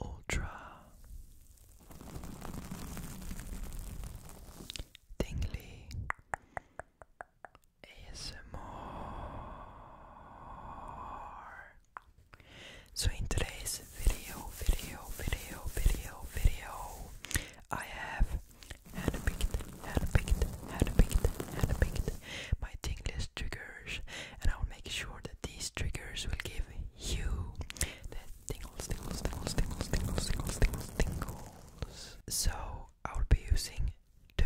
Ultra Tingly ASMR. So in today's video, video, video, video, video, I have handpicked, handpicked, handpicked, handpicked my tingless triggers, and I'll make sure that these triggers will give you the tingles, tingles, tingles, tingles, tingles, tingles, tingles, tingles. So I will be using two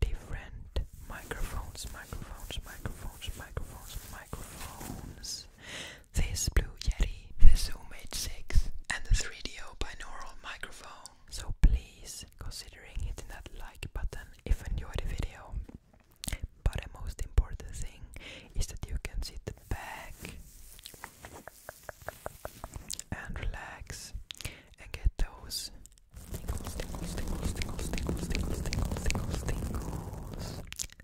different microphones, microphones, microphones, microphones, microphones. This Blue Yeti, the Zoom H6, and the 3DO binaural microphone. So please considering hitting that like button if you enjoyed the video. But the most important thing is that you can sit back and relax and get those tingles, tingles, tingles, tingles, tingles, tingles, tingles, tingles, tingles.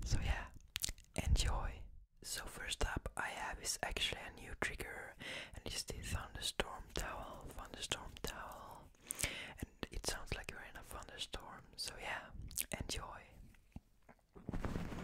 So yeah, enjoy. So first up I have is actually a new trigger and it's the thunderstorm towel, thunderstorm towel. And it sounds like you're in a thunderstorm. So yeah, enjoy.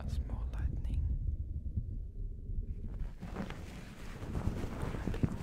A small lightning. A big one.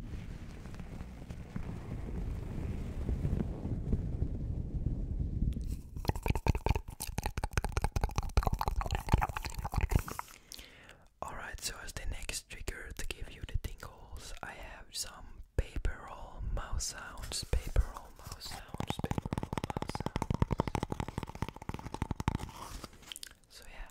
Alright, so as the next trigger to give you the tingles, I have some paper roll mouse sounds, paper roll mouse sounds, So, yeah,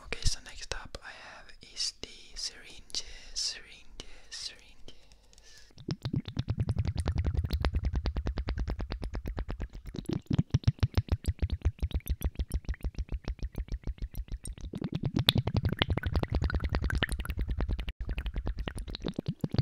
Okay, so next up I have is the syringes, syringes, syringes.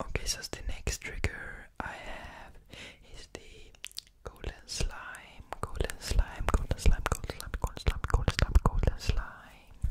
Okay, so the next trigger I have is the golden slime, golden slime, golden slime, golden slime, golden slime, golden slime, golden slime.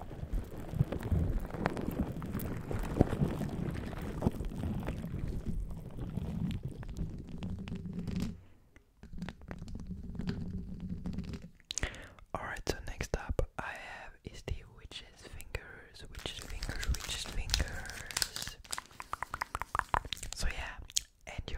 Alright, so next up I have is the witch's fingers, witch's fingers, witch's fingers. So yeah, enjoy.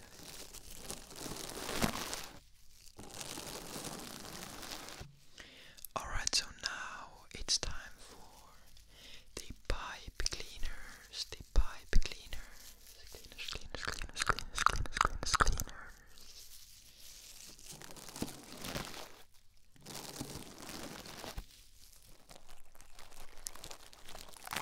Alright, so now it's time for the pipe cleaners, the pipe cleaners, cleaners, cleaners, cleaners, cleaners, cleaners, cleaners, cleaners.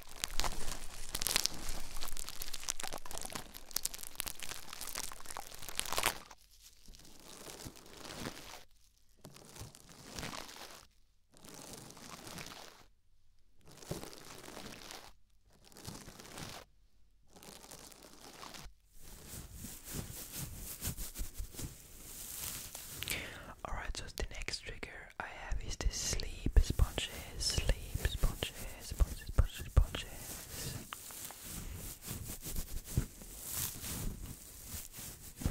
Alright, so the next trigger I have is the sleep sponges, sleep sponges, sponges, sponges, sponges. Now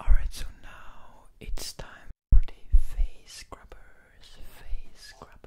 Alright, so now it's time pretty face scrubbers, face scrubbers.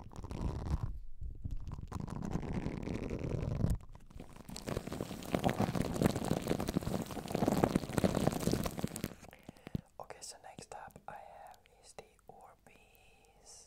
Okay, so next up I have is the Orbeez.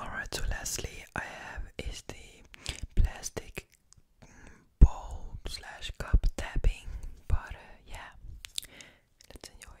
Alright, so lastly, I have is the plastic mm, bowl slash cup tapping, but uh, yeah, let's enjoy.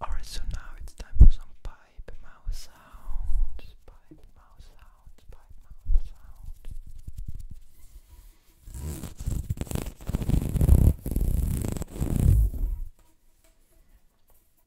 Alright, so now it's time for some pipe mouse sounds. Pipe mouse sounds, pipe mouse sounds.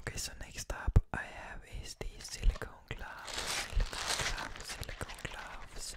Okay, so next up I have is the silicone gloves, silicone gloves, silicone gloves.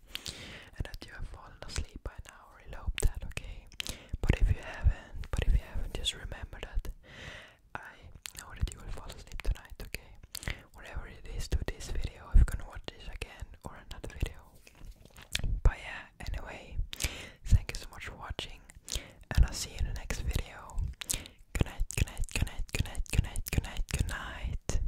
and that you have fallen asleep by now. I hope that, okay? But if you haven't, but if you haven't, just remember that I know that you will fall asleep tonight, okay? Whatever it is to this video, if you can watch this again or another video. But yeah, anyway, thank you so much for watching, and I'll see you in the next video. Good night, good night, good night, good night, good night, good night, good night.